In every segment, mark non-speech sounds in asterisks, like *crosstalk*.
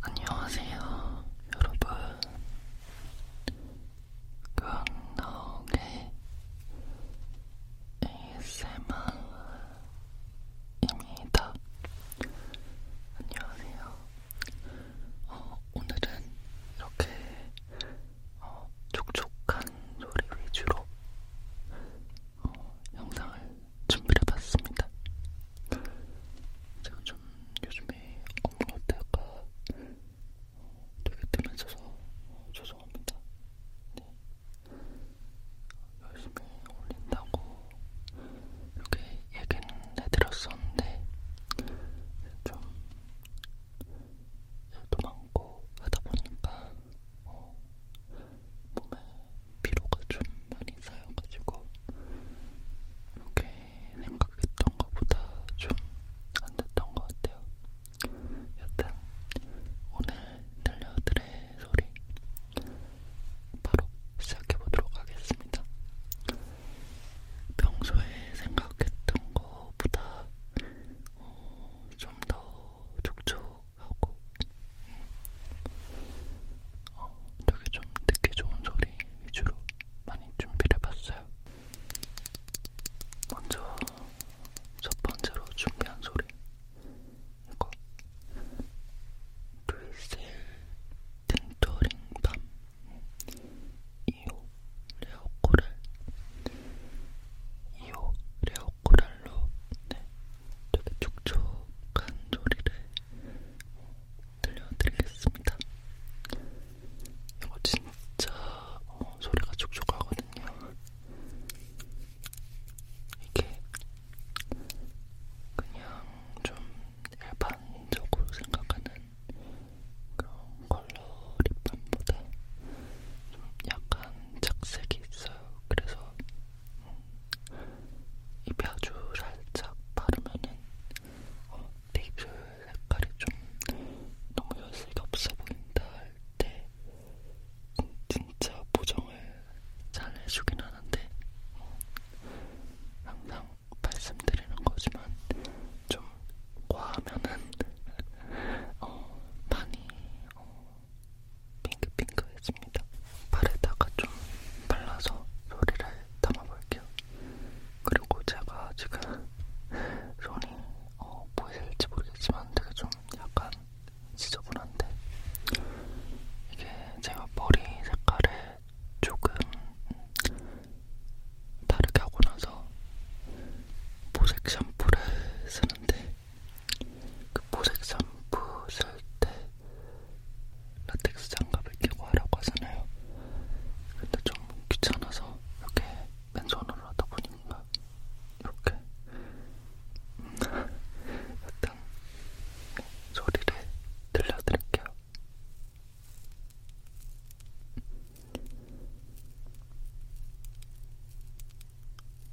안녕하세요, 여러분. 강나옥의 ASMR입니다. 안녕하세요. 어, 오늘은 이렇게 어, 촉촉한 소리 위주로 어, 영상을 준비를 해봤습니다. 제가 좀 요즘에 업무가 어떨까 되게 뜨면서 죄송합니다. 네. 열심히 올린다고 이렇게 얘기는 해드렸었는데 좀 일도 많고 하다 보니까 어, 몸에 피로가 좀 많이 쌓여가지고 이렇게 생각했던 것보다 좀안 됐던 것 같아요. 여튼 오늘 들려드릴 소리 바로 시작해보도록 하겠습니다. 평소에 생각했던 것보다 어, 좀더 촉촉하고 어, 되게 좀 듣기 좋은 소리 위주로 많이 준비를 해봤어요. 먼저 첫 번째로 준비한 소리 이거 브리셀 틴토링 밤 2호 레오코랄 2호 레오코랄로 네, 되게 촉촉한 소리를 들려드리겠습니다. 이거 진짜 어, 소리가 촉촉하거든요. 이게 그냥 좀 일반적으로 생각하는 그런 컬러 립밤보다 좀 약간 착색이 있어요. 그래서 입에 아주 살짝 바르면은 어, 내 입술 색깔이 좀 너무 연색이 없어 보인다 할 때 진짜 보정을 잘 해주긴 하는데 어, 항상 말씀드리는 거지만 좀 과하면은 어, 많이 어, 핑크핑크했습니다. 팔에다가 좀 발라서 소리를 담아볼게요. 그리고 제가 지금 손이 어, 보이실지 모르겠지만 되게 좀 약간 지저분한데 이게 제가 머리 색깔을 조금 다르게 하고 나서 보색 샴푸를 쓰는데 그 보색 샴푸 쓸때 라텍스 장갑을 끼고 하라고 하잖아요. 근데 좀 귀찮아서 이렇게 맨손으로 하다 보니까 이렇게 일단 *laughs* 소리를 들려드릴게요.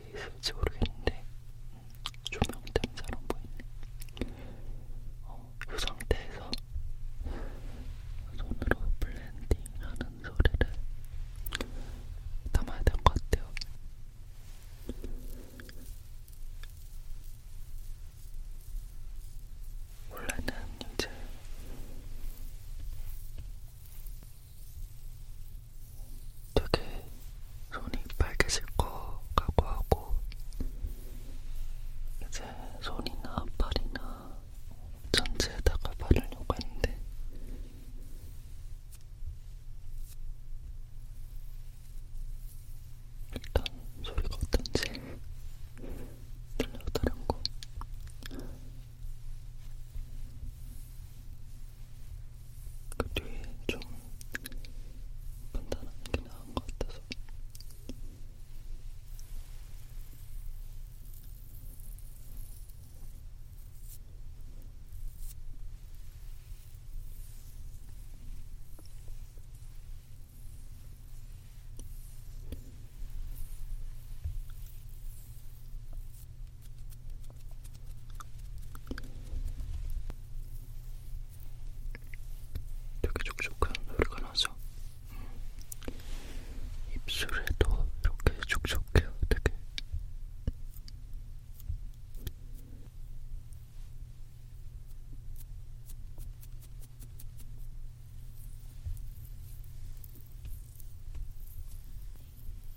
그 있을지 모르겠는데 조명 때문에 잘안 보이네. 어, 이 그 상태에서 손으로 블렌딩하는 소리를 담아야 될 것 같아요. 원래는 이제 되게 손이 빨개질 것 같고 하고 이제 손이나 팔이나 전체에다가 바르려고 했는데 일단 소리가 어떤지 들려달라고 그 뒤에 좀 판단하는 게 나은 것 같아서 되게 촉촉한 소리가 나죠? 음, 입술에도 이렇게 촉촉해요, 되게.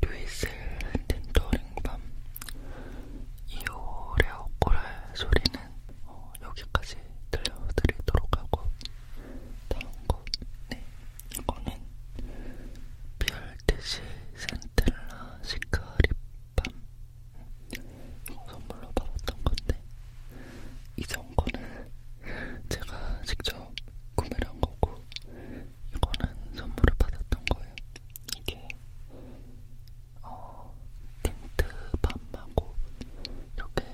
듀이슬 딘더링밤 2월의 엇고랄 소리는 어, 여기까지 들려드리도록 하고 다음 곡, 네, 이거는 비알티시 센텔라 시크릿밤 이거 선물로 받았던 건데 이전 거는 제가 직접 구매를 한 거고 이거는 선물을 받았던 거예요. 이게 어, 틴트밤하고 이렇게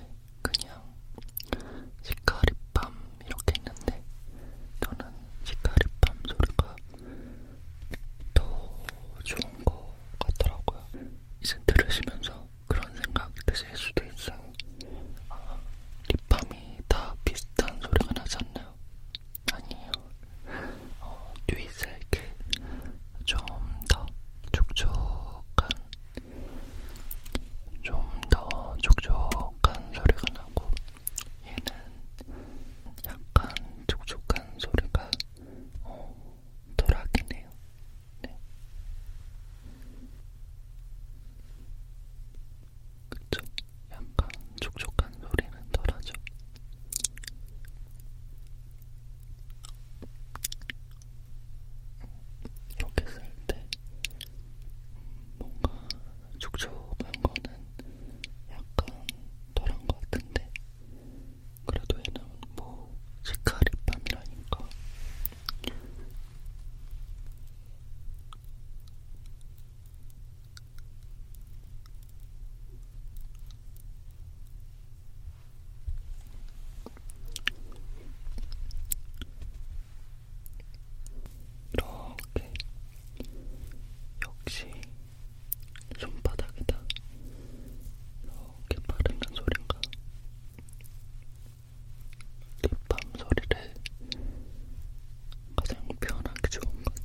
그냥 시카리밤 이렇게 있는데 저는 시카리밤 소리가 더 좋은 것 같더라고요. 이제 들으시면서 그런 생각 드실 수도 있어요. 아, 립밤이 다 비슷한 소리가 나지 않나 아닌가요? 아니에요. 어, 뇌살게 좀더 촉촉한, 좀 더 촉촉한 소리가 나고, 얘는 약간 촉촉한 소리가 어, 덜하긴 해요. 네. 그쵸? 약간 촉촉한 소리는 덜하죠. 이렇게 쓸 때 뭔가 촉촉한 거는 약간 덜한 것 같은데 그래도 얘는 뭐 시카 립밤이라니까 이렇게 역시 손바닥에다 이렇게 바르는 소린가 립밤 소리를 가장 편하게 좋은 것 같아요.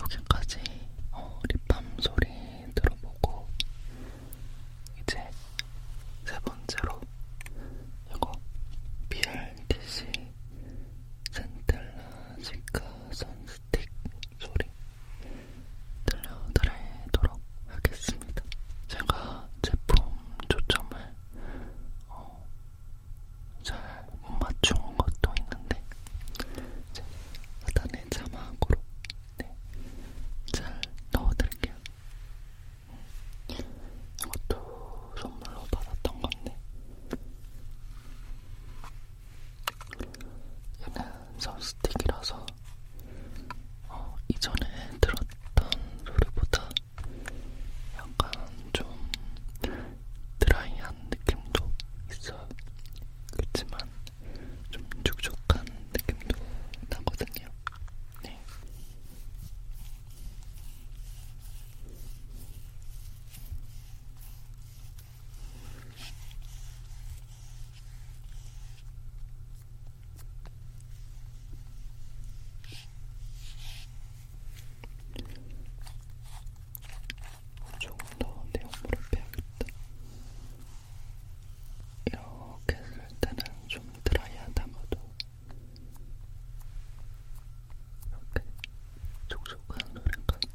여기까지 어, 립밤 소리 들어보고 이제 세 번째로 이거 BRTC 센텔라 시카 선스 스틱 소리 들려드리도록 하겠습니다. 제가 제품 초점을 어, 잘못 맞춘 것도 있는데 이제 하단에 자막으로 네, 잘 넣어드릴게요. 이것도 선물로 받았던 건데 얘는 섭스틱이라서 어, 이전에 들었던 소리보다 약간 좀 드라이한 느낌도 있어요. 그렇지만 좀 촉촉한 느낌도 나거든요. 네. 조금 더 내용물을 빼야겠다. 이렇게 쓸 때는 좀 드라이한 담아도 이렇게 촉촉한 노래까지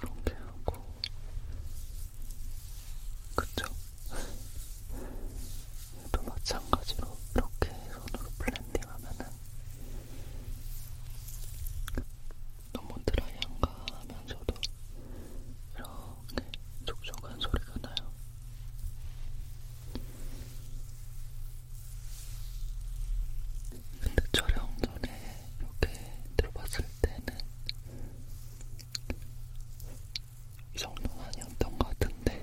이렇게 하고 그쵸? 얘도 마찬가지로 이렇게 손으로 블렌딩하면은 너무 드라이한가 하면서도 이렇게 촉촉한 소리가 나요. 근데 촬영 전에 이렇게 들어봤을 때는 이 정도는 아니었던 것 같은데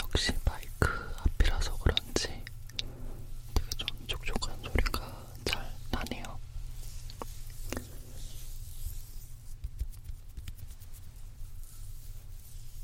역시 마이크 앞이라서 그런지 되게 좀 촉촉한 소리가 잘 나네요.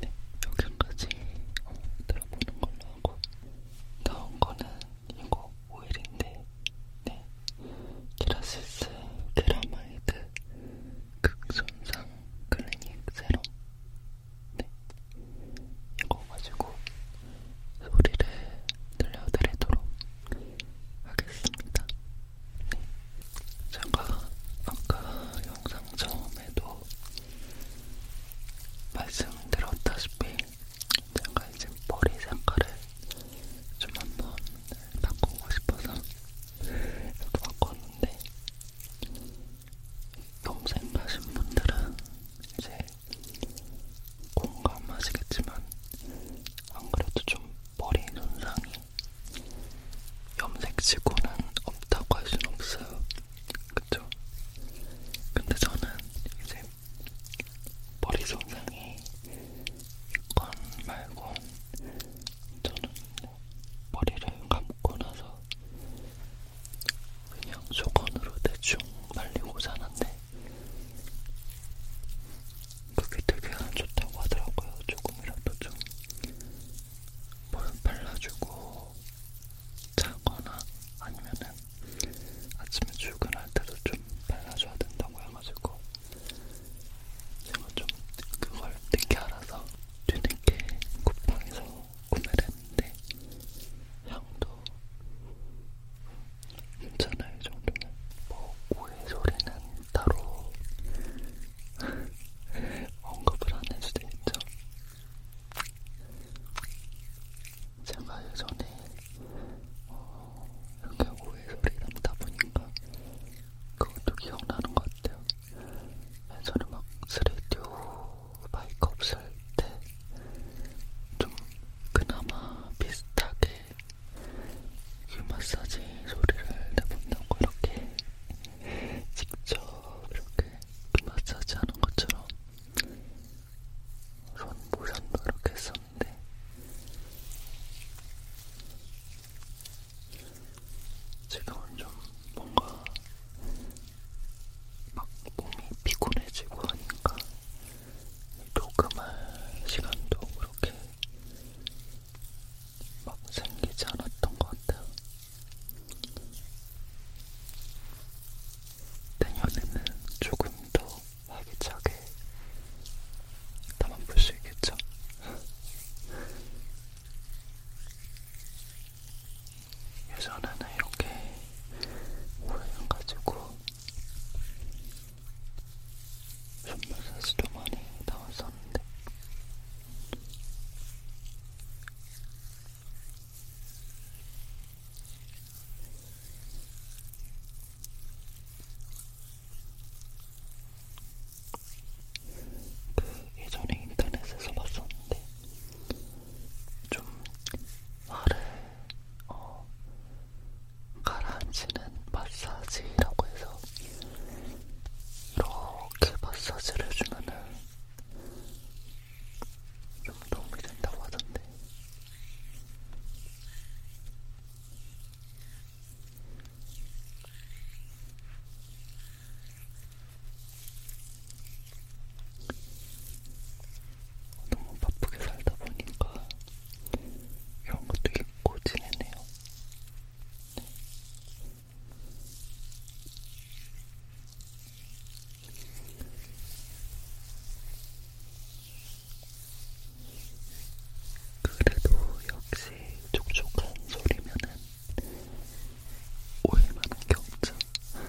네, 여기까지 어, 들어보는 걸로 하고 다음 거는 이거 오일인데 네, 키라시스 케라마이드 극손상 클리닉 세럼 네, 이거 가지고 소리를 들려드리도록 하겠습니다. 네. 제가 아까 영상 처음에도 말씀드렸다시피 제가 이제 머리 색깔을 좀 한번 바꾸고 싶어서 이렇게 바꿨는데 염색하신 분들은 이제 공감하시겠지만 안 그래도 좀 머리 손상이 염색치고는 없다고 할 수는 없어요. 그쵸? 근데 저는 이제 머리 손상이 있건 말건 저는 뭐 머리를 감고 나서 그냥 소건으로 대충 말리고 자는데 그게 되게 안 좋다고 하더라고요. 조금이라도 좀뭘 발라주고 자거나 아니면은 아침에 출근할 때도 좀 발라줘야 된다고 해가지고 제가 좀 그걸 늦게 알아서 뒤늦게 쿠팡에서 구매를 했는데 향도 괜찮아요, 이 정도는. 뭐, 오해 소리는 따로 *laughs* 언급을 안할 수도 있죠. 제가 예전에 어, 이렇게 오해 소리 남다 보니까 그것도 기억나는 것 같아요. 예전에 막 스튜디오 마이크 없을 때 좀 그나마 비슷하게 귀 그 마사지 소리를 내본다고 이렇게 직접 이렇게 귀 그 마사지 하는 것처럼 손 모션도 이렇게 했었는데 지금은 좀 뭔가 막 몸이 피곤해지고 하니까 녹음할 시간도 그렇게 막 생기지 않았던 것 같아요. 내년에는 조금 더 활기차게 나만 볼수 있겠죠? 예전에는 이렇게 오래가지고 손마사지도 많이 나왔었는데 그 예전에 인터넷에서 봤었는데 좀 화를 어, 가라앉히는 마사지라고 해서 이렇게 마사지를 해주면은 좀 도움이 된다고 하던데 너무 바쁘게 살다 보니까 이런 것도 잊고 지내네요. 그래도 역시 촉촉한 소리면은 오해만한 게 없죠.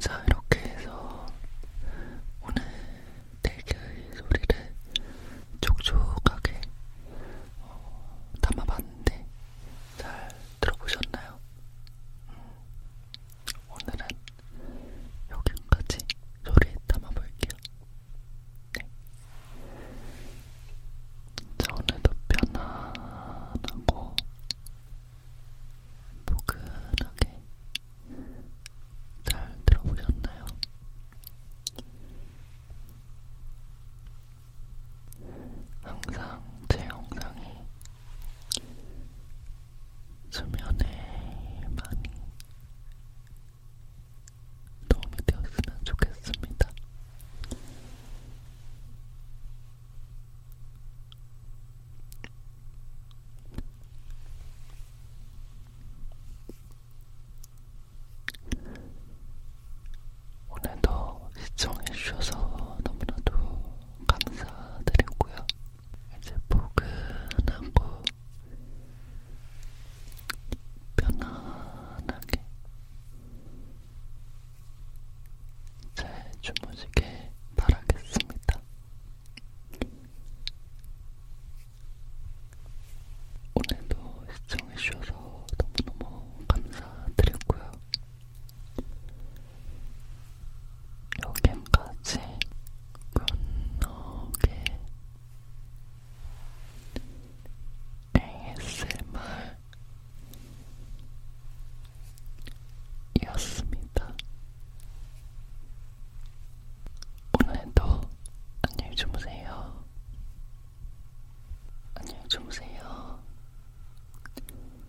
자, 이렇게 해서 오늘 대결 소리를 촉촉하게 어, 담아봤는데 잘 들어보셨나요? 오늘은 여기까지 소리에 담아볼게요. 네. 자, 오늘도 편안하고 포근하게 잘 들어보셨나요? 항상 제 영상이 수면에 많이 도움이 되었으면 좋겠습니다. 오늘도 시청해주셔서 너무나도 감사드리고요. 이제 포근하고 편안하게 잘 주무시길 바라겠습니다. 오늘도 시청해주셔서 너무너무 감사드리고요. 여기까지 굿노게 ASMR이었습니다. 오늘도 안녕히 주무세요. 안녕히 주무세요.